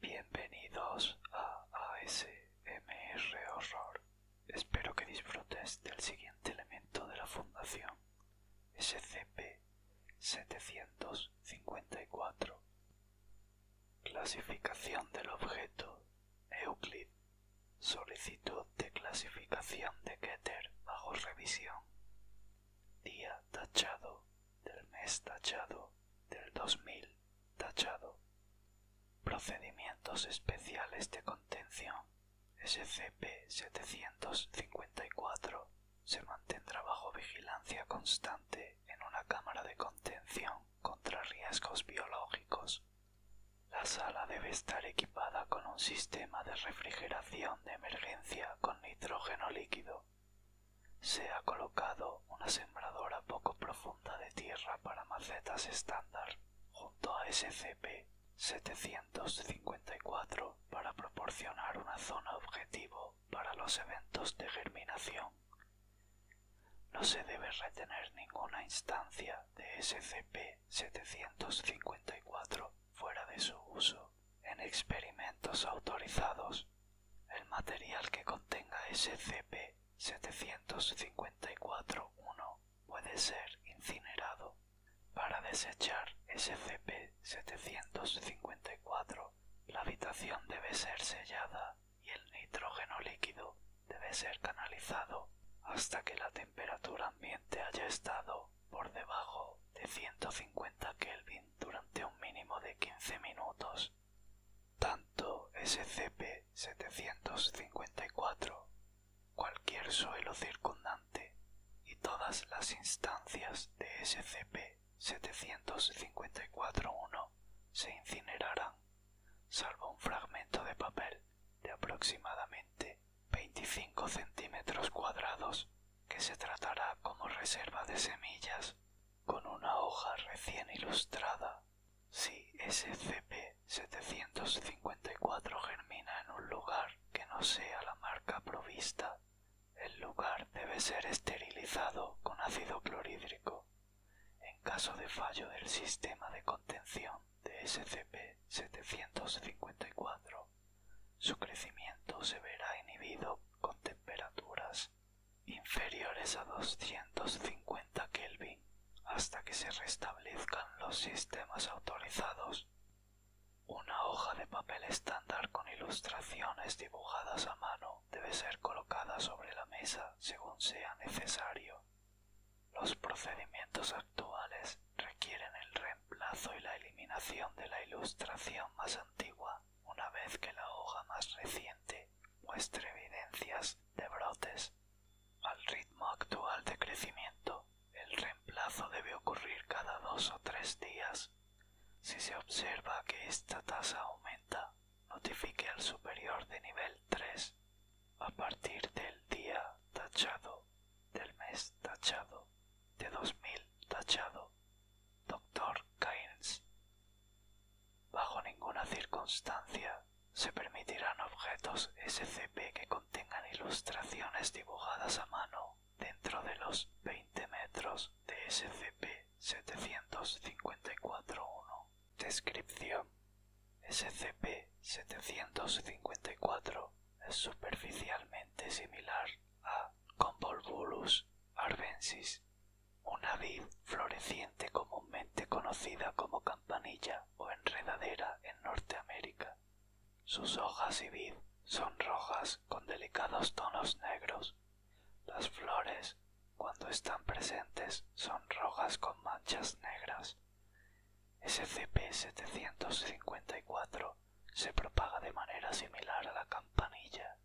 Bienvenidos a ASMR Horror. Espero que disfrutes del siguiente elemento de la Fundación, SCP-754. Clasificación del objeto, Euclid. Solicitud de clasificación de Keter bajo revisión. Día tachado del mes tachado del 2000 tachado. Procedimientos especiales de contención. SCP-754 se mantendrá bajo vigilancia constante en una cámara de contención contra riesgos biológicos la sala debe estar equipada con un sistema de refrigeración de emergencia con nitrógeno líquido. Se ha colocado una sembradora poco profunda de tierra para macetas estándar junto a SCP-754 para proporcionar una zona objetivo para los eventos de germinación. No se debe retener ninguna instancia de SCP-754 fuera de su uso en experimentos autorizados. El material que contenga SCP-754-1 puede ser incinerado. Para desechar SCP-754, la habitación debe ser sellada y el nitrógeno líquido debe ser canalizado hasta que la temperatura ambiente haya estado por debajo de 150 Kelvin durante un mínimo de 15 minutos. Tanto SCP-754, cualquier suelo circundante y todas las instancias de SCP-754-1 se incinerarán, salvo un fragmento de papel de aproximadamente 25 centímetros cuadrados que se tratará como reserva de semillas con una hoja recién ilustrada. Si SCP-754 germina en un lugar que no sea la marca provista, el lugar debe ser esterilizado con ácido clorhídrico. En caso de fallo del sistema de contención, de SCP-754. Su crecimiento se verá inhibido con temperaturas inferiores a 250 Kelvin hasta que se restablezcan los sistemas autorizados. Una hoja de papel estándar con ilustraciones dibujadas a mano debe ser colocada sobre la mesa según sea necesario. Los procedimientos actuales requieren el reemplazo y la eliminación de la ilustración más antigua una vez que la hoja más reciente muestre evidencias de brotes. Al ritmo actual de crecimiento, el reemplazo debe ocurrir cada dos o tres días. Si se observa que esta tasa aumenta, notifique al superior de nivel 3 a partir del día tachado, del mes tachado, de 2000 tachado, Dr. Keynes. Bajo ninguna circunstancia se permitirán objetos SCP que contengan ilustraciones dibujadas a mano dentro de los 20 metros de scp 7541. Descripción SCP-754 es superficialmente similar a Convolvulus arvensis, una vid floreciente comúnmente conocida como campanilla o enredadera en Norteamérica. Sus hojas y vid son rojas con delicados tonos negros. Las flores, cuando están presentes, son rojas con manchas negras. SCP-754 se propaga de manera similar a la campanilla.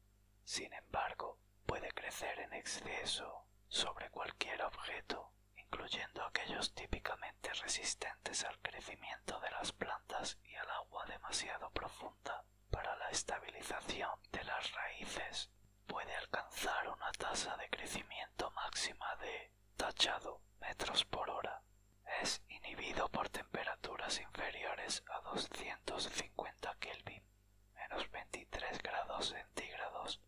Sin embargo, puede crecer en exceso sobre cualquier objeto, incluyendo aquellos típicamente resistentes al crecimiento de las plantas y al agua demasiado profunda para la estabilización de las raíces. Puede alcanzar una tasa de crecimiento máxima de tachado metros por hora es inhibido por temperaturas inferiores a 250 Kelvin, menos 23 grados centígrados,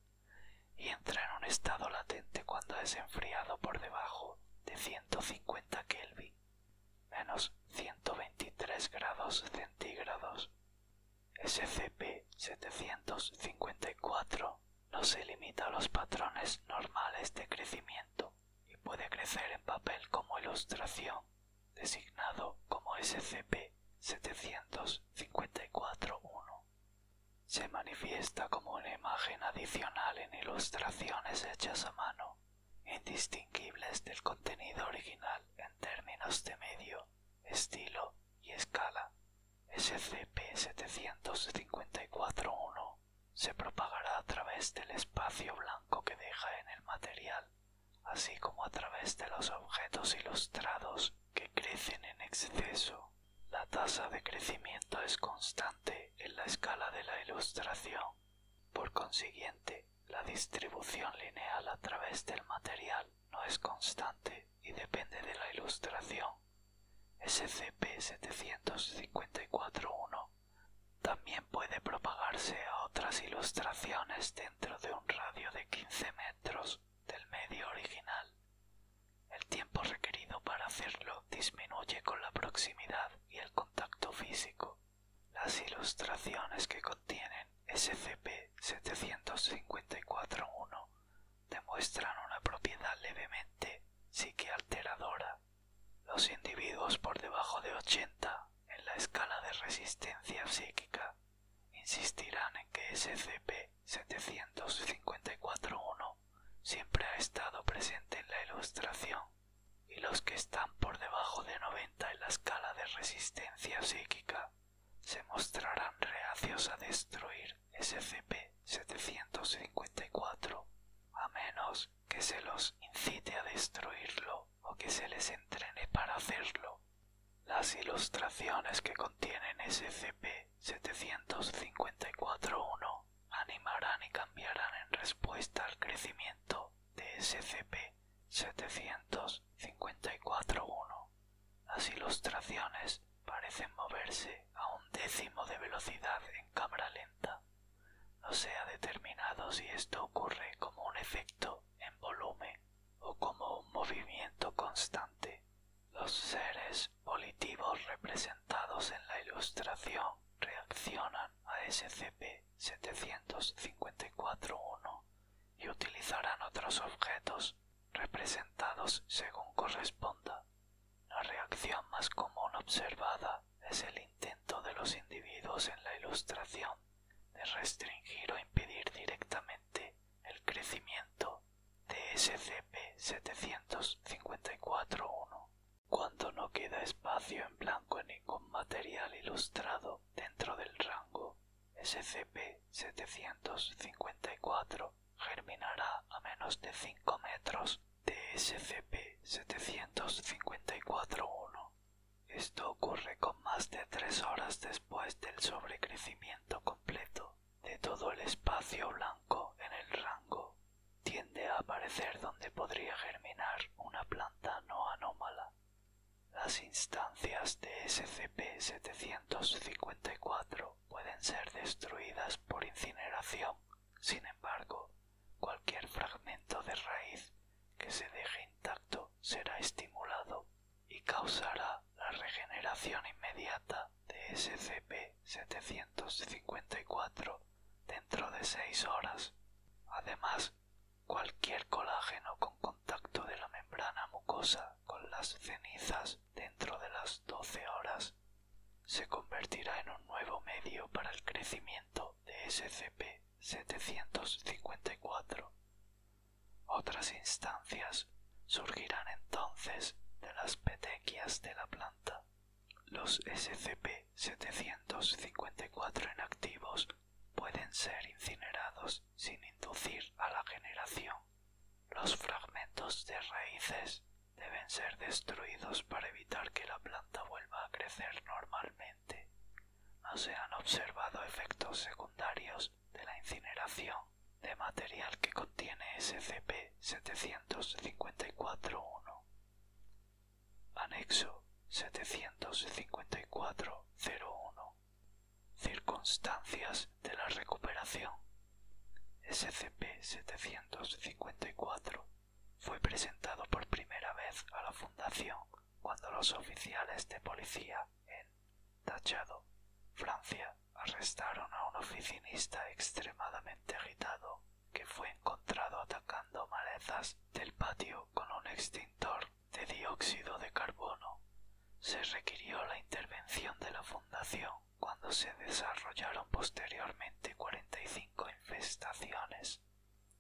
y entra en un estado latente cuando es enfriado por debajo de 150 Kelvin, menos 123 grados centígrados. SCP-754 no se limita a los patrones normales de crecimiento y puede crecer en papel como ilustración, designado como scp 754 Se manifiesta como una imagen adicional en ilustraciones hechas a mano, indistinguibles del contenido original en términos de medio, estilo y escala, scp 754 se propagará a través del espacio blanco que deja en el material, así como a través de los objetos ilustrados que crecen en exceso. La tasa de crecimiento es constante en la escala de la ilustración. Por consiguiente, la distribución lineal a través del material no es constante y depende de la ilustración. scp 7541 también puede propagarse a otras ilustraciones dentro de un radio de 15 metros del medio original. El tiempo requerido para hacerlo disminuye con la proximidad y el contacto físico. Las ilustraciones que contienen scp 7541 demuestran una propiedad levemente psiquialteradora. Los individuos por debajo de 80 en la escala de resistencia psíquica insistirán en que SCP-754-1 siempre ha estado presente en la ilustración y los que están por debajo de 90 en la escala de resistencia psíquica se mostrarán reacios a destruir SCP-754 a menos que se los incite a destruirlo o que se les entrene para hacerlo. Las ilustraciones que contienen SCP-754-1 animarán y cambiarán en respuesta al crecimiento de SCP-754-1. Las ilustraciones parecen moverse a un décimo de velocidad en cámara lenta. No sea determinado si esto ocurre como un efecto en volumen o como un movimiento constante. Los seres volitivos representados en la ilustración reaccionan a scp 754 y utilizarán otros objetos representados según corresponda. La reacción más común observada es el intento de los individuos en la ilustración de restringir o impedir directamente el crecimiento de scp 754 cuando no queda espacio en blanco en ningún material ilustrado dentro del rango SCP-754 germinará a menos de 5 metros de SCP-754-1. Esto ocurre con más de 3 horas después del sobrecrecimiento completo de todo el espacio blanco en el rango. Tiende a aparecer donde podría germinar una planta no anómala. Las instancias de SCP-754 pueden ser destruidas por incineración. Sin embargo, cualquier fragmento de raíz que se deje intacto será estimulado y causará la regeneración inmediata de SCP-754 dentro de 6 horas. Además, cualquier colágeno con contacto de la membrana mucosa con las cenizas dentro de las 12 horas se convertirá en un nuevo medio para el crecimiento de SCP-754. Otras instancias surgirán entonces de las petequias de la planta. Los SCP-754 inactivos pueden ser incinerados sin inducir a la generación los fragmentos de raíces deben ser destruidos para evitar que la planta vuelva a crecer normalmente. No se han observado efectos secundarios de la incineración de material que contiene SCP-754-1. Anexo 754-01 Circunstancias de la recuperación SCP-754 fue presentado por primera vez a la Fundación cuando los oficiales de policía en Tachado, Francia, arrestaron a un oficinista extremadamente agitado que fue encontrado atacando malezas del patio con un extintor de dióxido de carbono. Se requirió la intervención de la Fundación cuando se desarrollaron posteriormente 45 infestaciones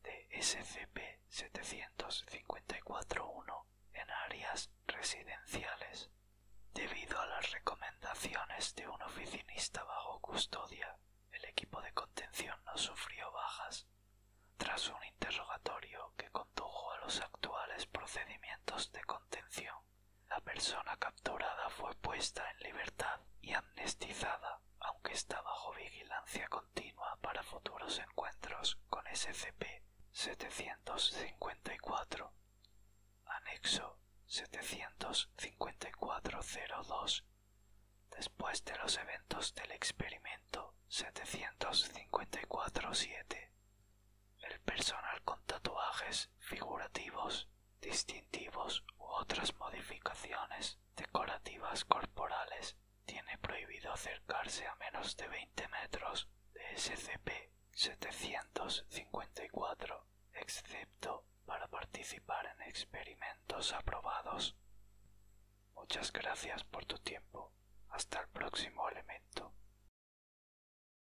de scp 754 en áreas residenciales, debido a las recomendaciones de un oficinista bajo custodia. El equipo de contención no sufrió bajas. Tras un interrogatorio que condujo a los actuales procedimientos de contención, la persona capturada fue puesta en libertad y amnestizada, aunque está bajo vigilancia continua para futuros encuentros con SCP-754. Anexo 754 Después de los eventos del experimento 754 el personal con tatuajes figurativos, distintivos u otras modificaciones decorativas corporales tiene prohibido acercarse a menos de 20 metros de SCP-754, excepto para participar en experimentos aprobados. Muchas gracias por tu tiempo. Hasta el próximo elemento.